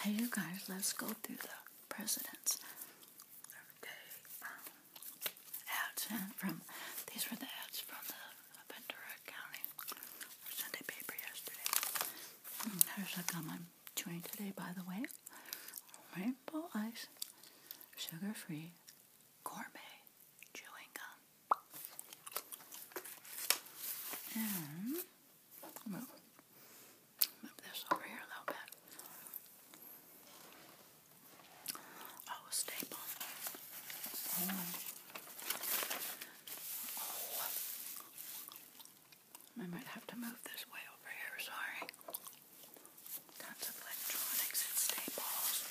Hey, you guys, let's go through the presidents. Everyday um, ads from these were the ads from the Ventura County Sunday paper yesterday. Mm, gum I'm chewing today, by the way. Rainbow Ice Sugar Free Gourmet Chewing Gum. And. Move this over here a little bit. Oh, a oh. I might have to move this way over here, sorry. Tons of electronics and staples.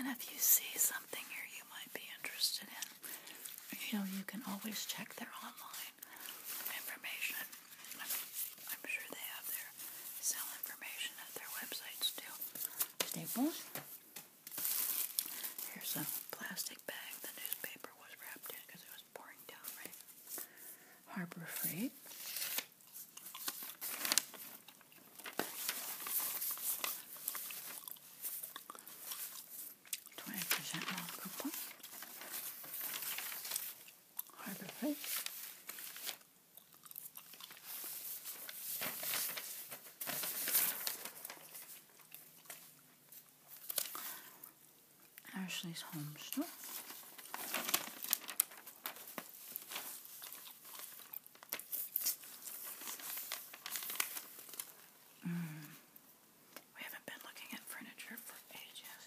And if you see something here you might be interested in, you know, you can always check their online information. I'm, sure they have their sale information at their websites too. Staples. Here's a plastic bag the newspaper was wrapped in because it was pouring down, right? Harbor Freight. Twenty percent off coupon. Harbor Freight. Ashley's Home Store. Mm. We haven't been looking at furniture for ages.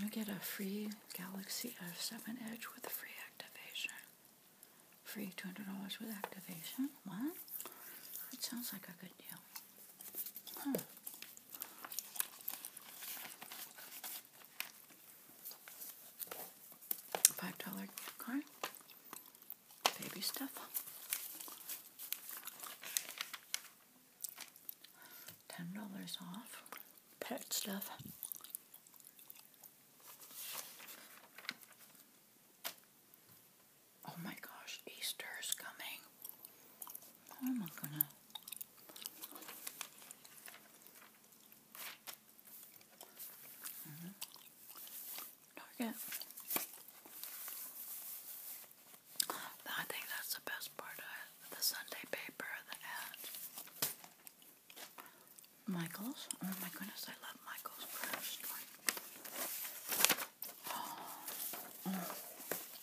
You get a free Galaxy S7 Edge with a free activation. Free $200 with activation. What? It sounds like a good deal. $5 card. Baby stuff ten dollars off pet stuff. Oh my gosh, Easter's coming. How am I gonna? Uh-huh. Target. I think that's the best part the Sunday paper, the ad. Michael's. Oh my goodness, I love Michael's craft store.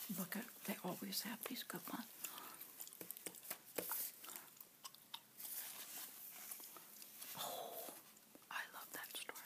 look at, they always have these good ones. Oh, I love that store.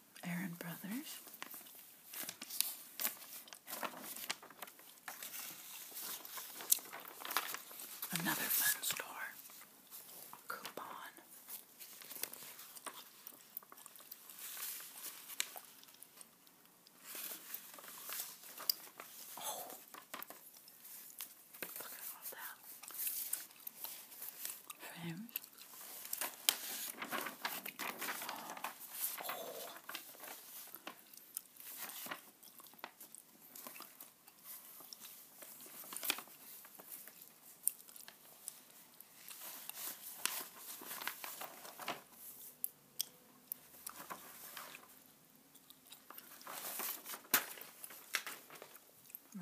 Aaron Brothers. Another fun store. Coupon. Oh. look at all that. Frames. Oh.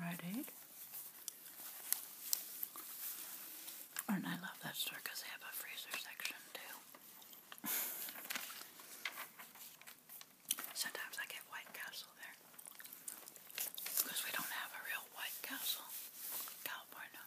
Right Aid. And I love that store because they have a freezer section too. Sometimes I get White Castle there. Because we don't have a real White Castle California.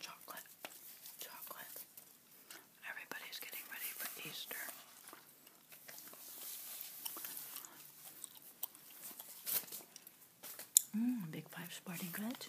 Chocolate, chocolate. Everybody's getting ready for Easter. Mmm, big five sporting goods.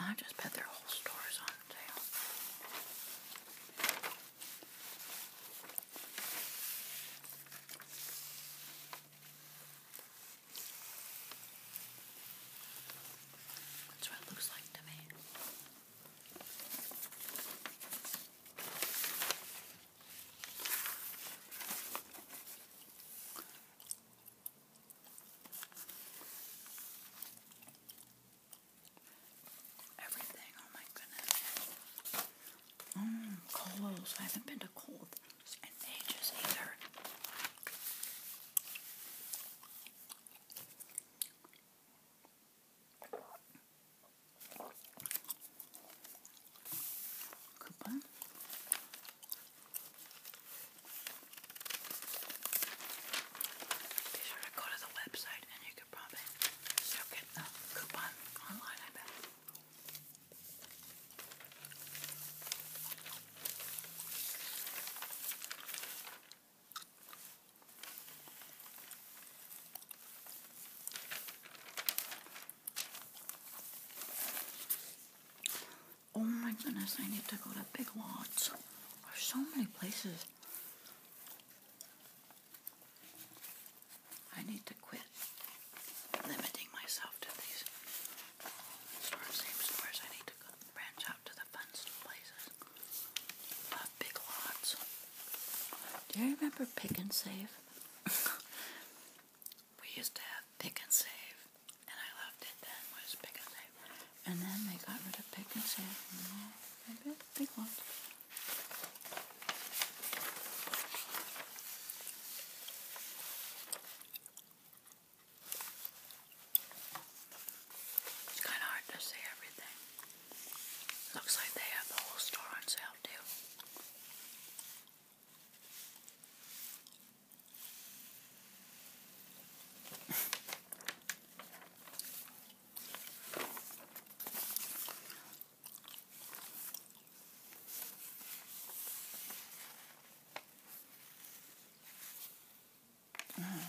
I, just bet their whole store is on sale. That's what it looks like to me. Everything, oh my goodness. Mmm, Coles. I haven't been to Coles in ages either coupon. Be sure to go to the website and you could probably still get the coupon online, Oh my goodness, I need to go to Big Lots. There's so many places. I need to quit limiting myself to these stores, same stores. I need to branch out to the fun places. Uh, big Lots. Do you remember Pick and Save? we used to have pick and save, and I loved it then, was pick and save. And then they got rid of pick and save, and all the It's kind of hard to say everything. Looks like they have the whole store on sale too. Mm.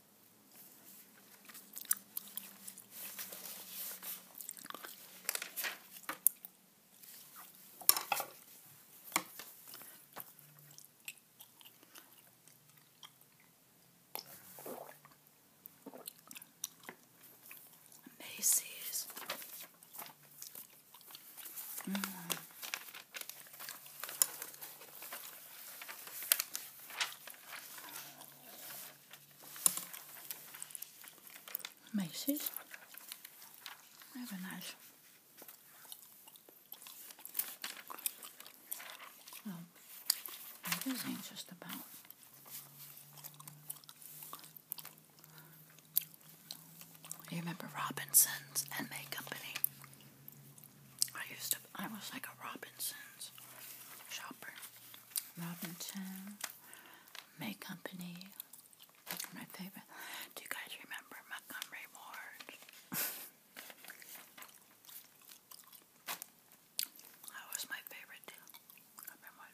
Macy's. Mm. Macy's. Very nice. Well, everything just about. You remember Robinson's and May Company? I used to, I was like a Robinson's shopper. Robinson, May Company, my favorite. Do you guys remember Montgomery Ward? that was my favorite too. Montgomery Ward.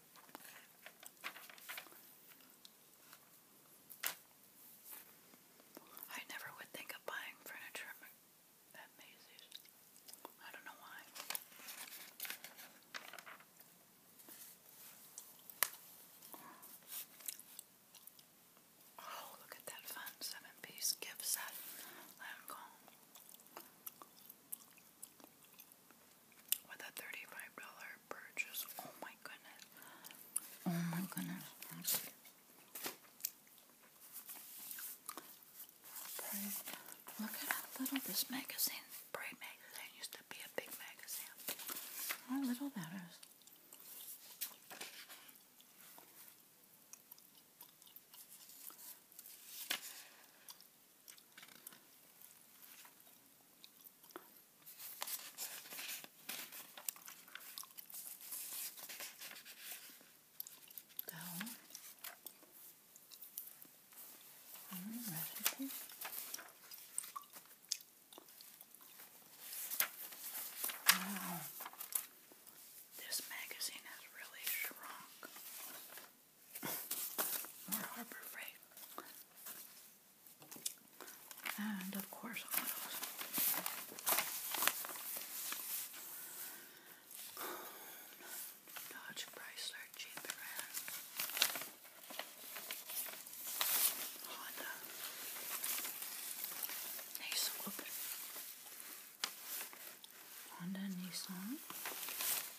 I never would think of buying furniture I don't know why. Oh, look at that fun seven piece gift set. Let with a $35 purchase. Oh my goodness. Oh my goodness. Look at how little this magazine, Brave magazine, used to be a big magazine. How little that is down on the recipe. Wow, this magazine has really shrunk more Harbor Freight. And of course, autos. Dodge Chrysler Jeep Ram. Honda. Nissan. Honda Nissan.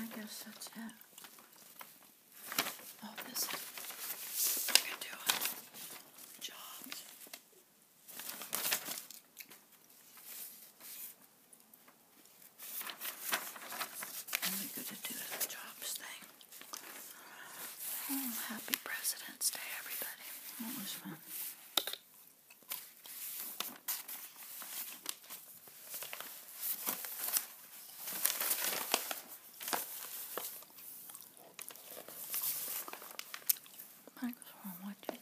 I guess that's it. Oh, this is you do uh, jobs. Really good to do the jobs thing. Oh, happy President's Day, everybody. That was fun. Thanks for watching.